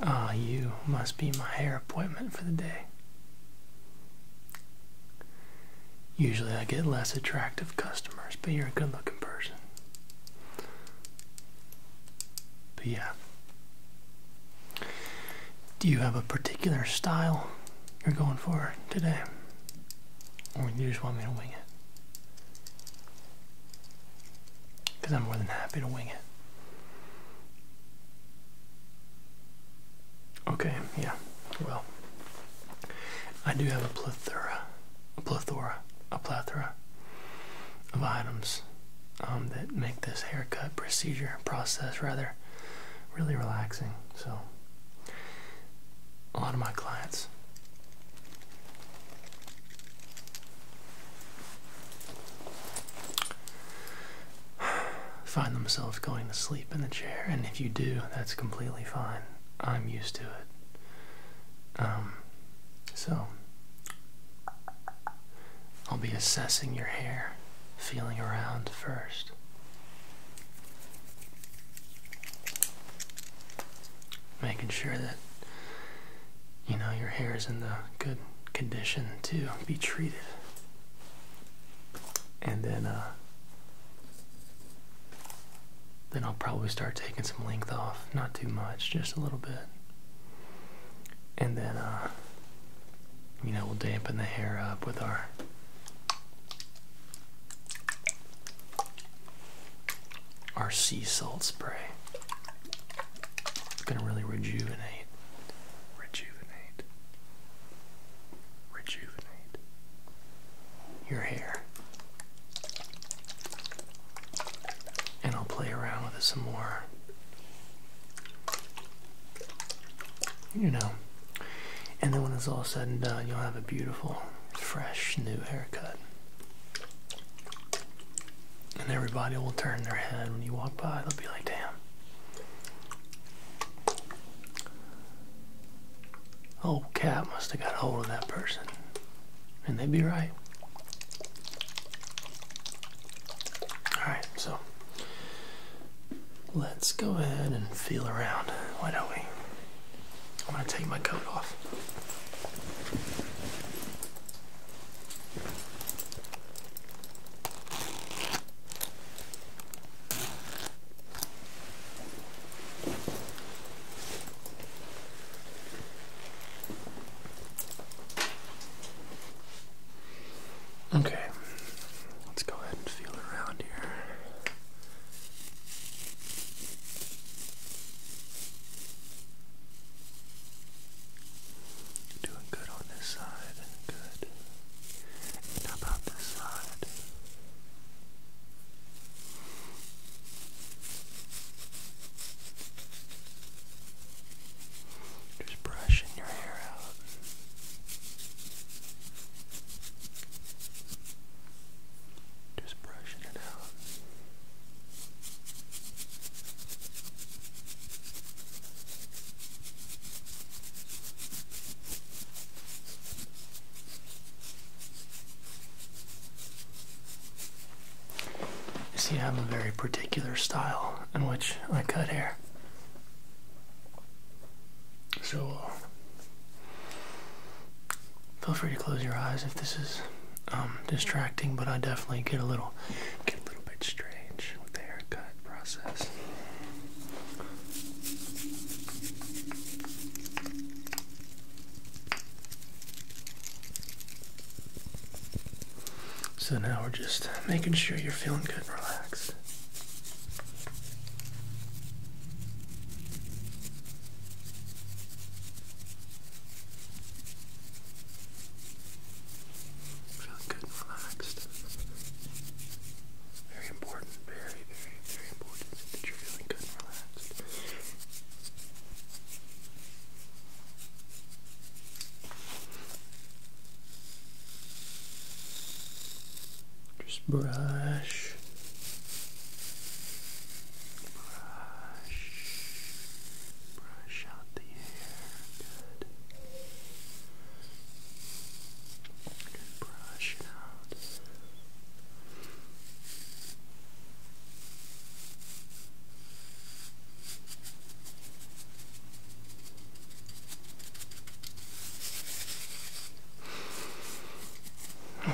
Ah, you must be my hair appointment for the day. Usually I get less attractive customers, but you're a good looking person. But yeah. Do you have a particular style you're going for today? Or you just want me to wing it? Because I'm more than happy to wing it. Okay, yeah. Well, I do have a plethora, a plethora, a plethora of items um, that make this haircut procedure process rather really relaxing. So, a lot of my clients find themselves going to sleep in the chair, and if you do, that's completely fine. I'm used to it. Um, so, I'll be assessing your hair, feeling around first. Making sure that you know your hair is in the good condition to be treated. And then uh then I'll probably start taking some length off, not too much, just a little bit. And then uh you know, we'll dampen the hair up with our our sea salt spray. It's gonna really rejuvenate, rejuvenate, rejuvenate your hair. And I'll play around with it some more. You know. And then when it's all said and done, you'll have a beautiful, fresh, new haircut. And everybody will turn their head when you walk by. They'll be like, damn. Old oh, cat must have got hold of that person. And they'd be right. Alright, so let's go ahead and feel around. Why don't we? I'm going to take my coat off. Okay, let's go ahead and feel around here. Doing good on this side. Good. And about this side? Just brushing your hair out. Just brushing it out. You see, I have a very particular style in which I cut hair. So, uh, feel free to close your eyes if this is um, distracting, but I definitely get a little get a little bit strange with the haircut process. So now we're just making sure you're feeling good, and relaxed. Feeling good and relaxed. Very important, very, very, very important that you're feeling good and relaxed. Just brush. Brush, brush, brush out the hair. Good. brush out.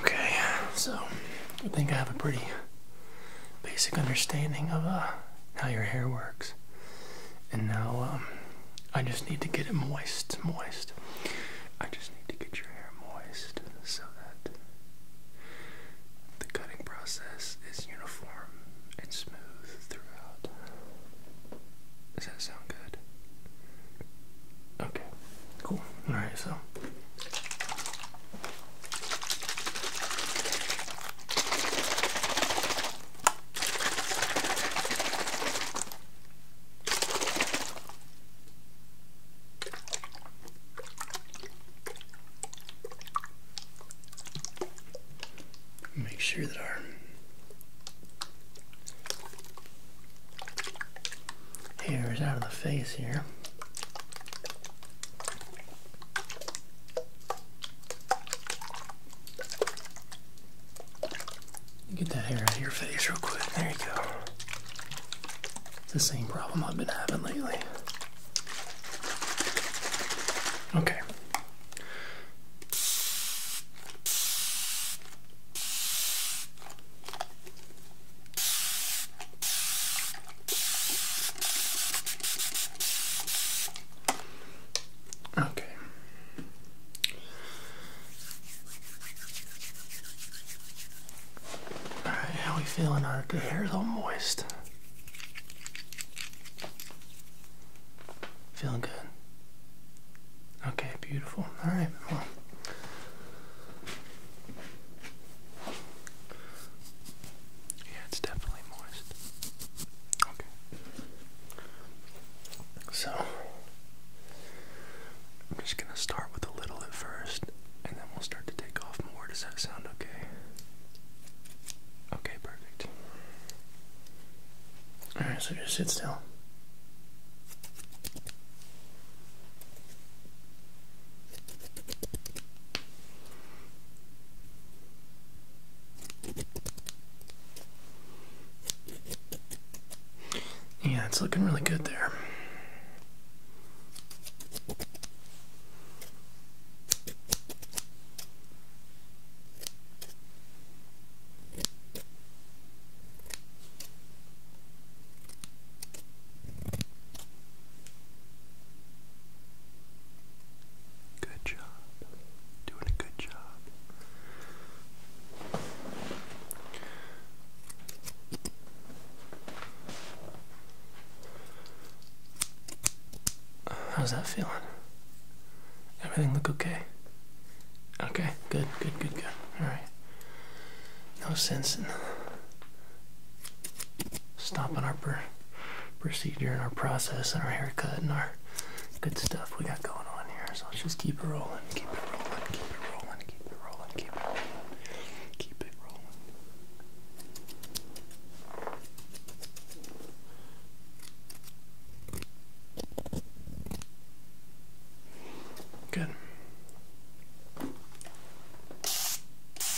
Okay, so I think I have a pretty basic understanding of uh, how your hair works. And now um, I just need to get it moist, moist. I just need to get your hair moist so that the cutting process is uniform and smooth throughout. Does that sound good? Okay, cool. Alright, so Make sure that our hair is out of the face here. Get that hair out of your face real quick. There you go. the same problem I've been having lately. Okay. Okay. All right, how we feeling? Our good hair's all moist. Feeling good. Okay, beautiful. All right, yeah, it's definitely moist. Okay. So, I'm just going to start with a little at first, and then we'll start to take off more. Does that sound okay? Okay, perfect. Alright, so just sit still. Yeah, it's looking really good there. Good job. Doing a good job. How's that feeling? Everything look okay? Okay, good, good, good, good. Alright. No sense in stopping our per procedure and our process and our haircut and our good stuff we got going on here. So let's just keep it rolling, keep it rolling, keep it rolling, keep it rolling, keep it rolling, keep it rolling. Good. Okay.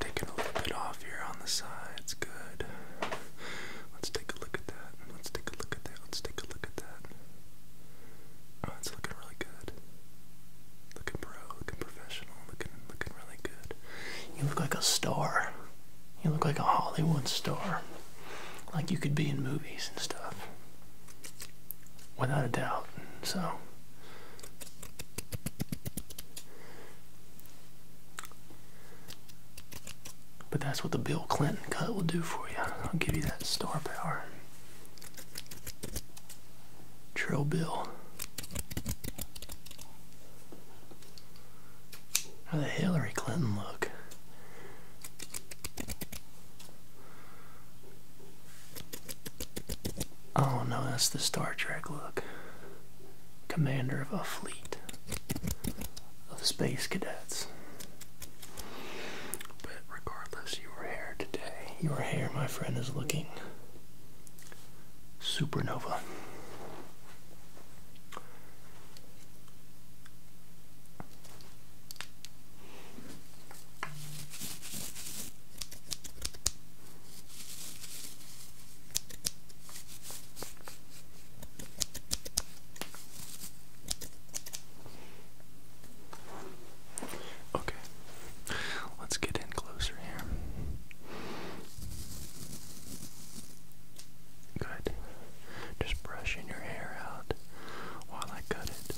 Taking a little off here on the sides, good. Let's take a look at that. Let's take a look at that. Let's take a look at that. Oh, it's looking really good. Looking pro, looking professional, looking looking really good. You look like a star. You look like a Hollywood star. Like you could be in movies and stuff. Without a doubt. So But that's what the Bill Clinton cut will do for you. I'll give you that star power. Trail Bill. How the Hillary Clinton look? Oh no, that's the Star Trek look. Commander of a fleet of space cadets. But regardless, you were here today. Your hair, my friend, is looking supernova. Okay, let's get in closer here. Good. Just brushing your hair out while I cut it.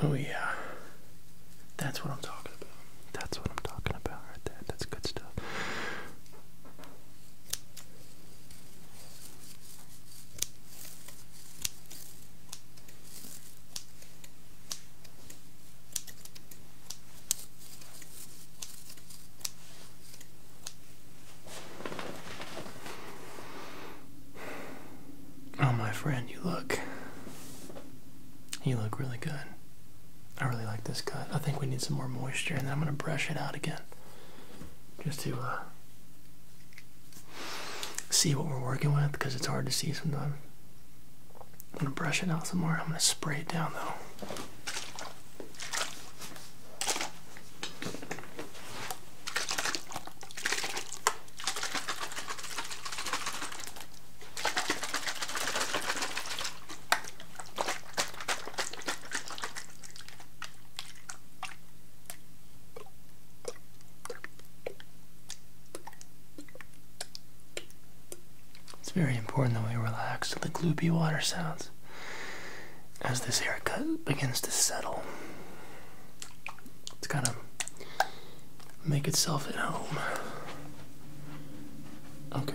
Oh, yeah. That's what I'm talking about. That's what I'm talking about right there. That's good stuff. Oh, my friend, you look. You look really good. I really like this cut. I think we need some more moisture, and then I'm going to brush it out again just to uh, see what we're working with because it's hard to see sometimes. I'm going to brush it out some more. I'm going to spray it down though. It's very important that we relax to the gloopy water sounds as this haircut begins to settle. It's gonna make itself at home. Okay.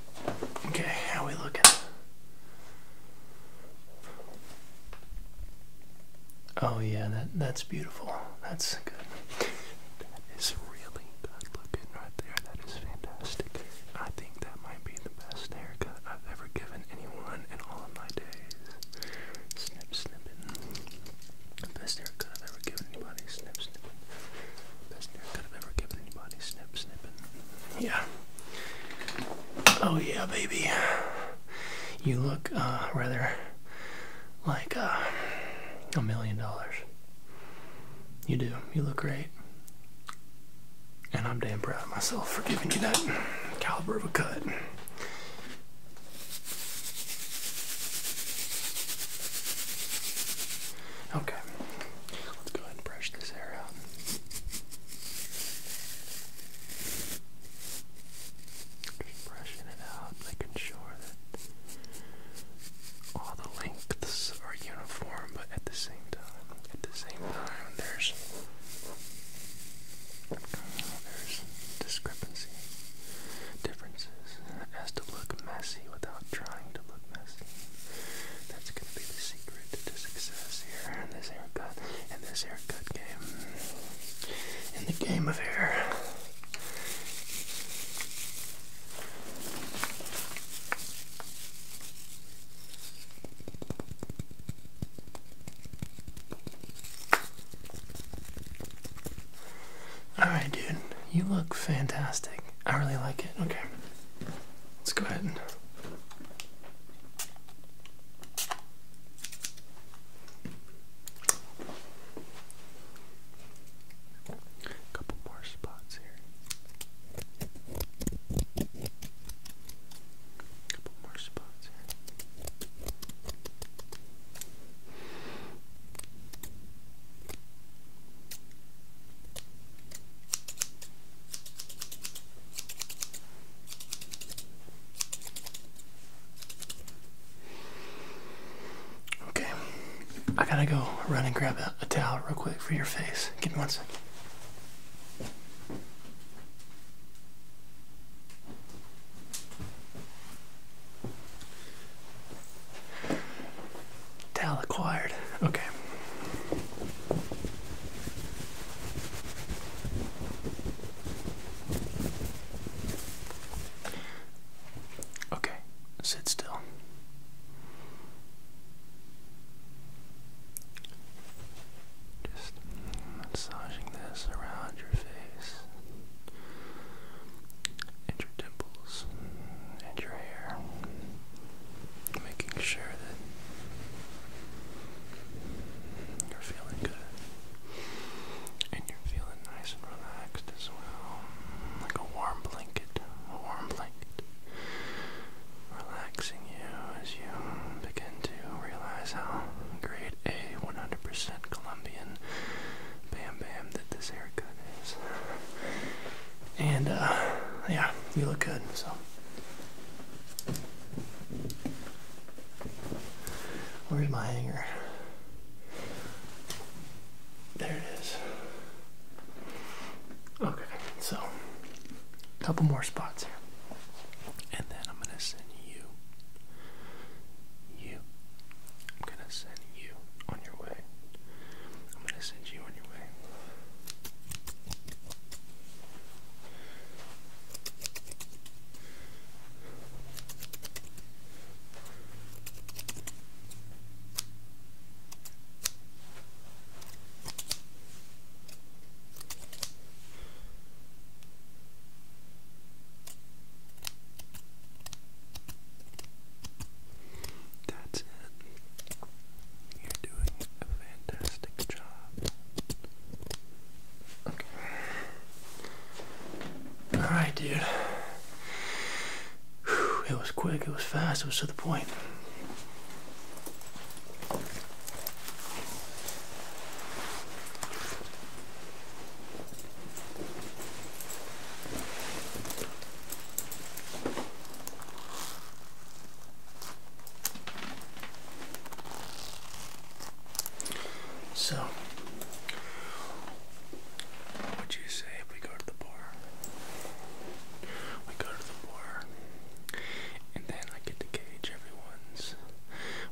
Okay, how we looking? Oh yeah, that that's beautiful. That's good. That is really good looking right there. That is fantastic. I think that might be the best haircut I've ever given anyone in all of my days. Snip snipping. Best haircut I've ever given anybody. Snip snipping. Yeah. Oh yeah, baby. You look uh, rather like uh, a million dollars. You do. You look great. And I'm damn proud of myself for giving you that caliber of a cut. Okay. Let's go ahead and brush this hair out. brushing it out, making sure that all the lengths are uniform, but at the same time, at the same time, there's there's discrepancy, differences, that has to look messy without trying to look messy. That's gonna be the secret to success here in this haircut, in this haircut game, in the game of hair. Alright, dude, you look fantastic. I really like it. Okay. Let's go ahead and couple more spots here. Couple more spots here. Okay, I gotta go run and grab a, towel real quick for your face. Give me one sec. Dell acquired. Okay. Okay, sit still. Just massaging this around your face, and your dimples, and your hair making sure that you're feeling good and you're feeling nice and relaxed as well, like a warm blanket, a warm blanket, relaxing you as you begin to realize how great a 100% Colombian bam bam that this haircut is. And uh, yeah, you look good. So where's my hanger? There it is. Okay, so a couple more spots here. And then I'm gonna send you you. I'm gonna send you on your way. I'm gonna send you on your way. That's it. You're doing a fantastic job. Okay. Alright, dude. it was quick, it was fast, it was to the point. So, what would you say if we go to the bar? We go to the bar, and then I get to gauge everyone's.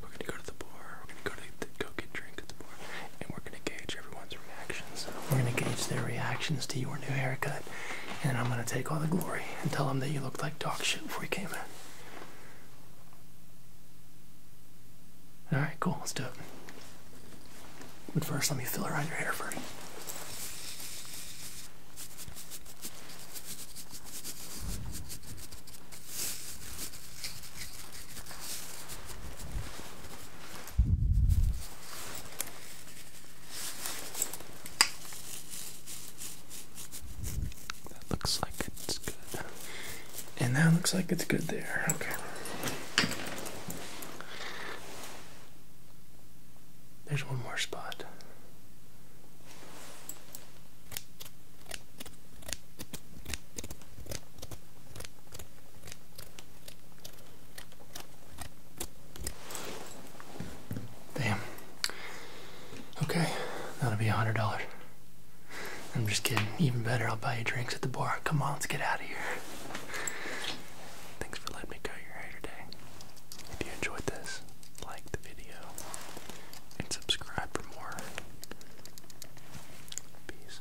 We're gonna go to the bar. We're gonna go to the, go get drink at the bar, and we're gonna gauge everyone's reaction reactions. We're going to gauge their reactions to your new haircut, and I'm going to take all the glory and tell them that you looked like dog shit before you came in. Alright, cool, let's do it. But first, let me feel around your hair first. That looks like it's good. And that looks like it's good there. Okay. There's one more spot. Damn. Okay, that'll be a hundred dollars. I'm just kidding. Even better, I'll buy you drinks at the bar. Come on, let's get out of here. Thanks for letting me cut your hair today. If you enjoyed this, like the video and subscribe for more. Peace.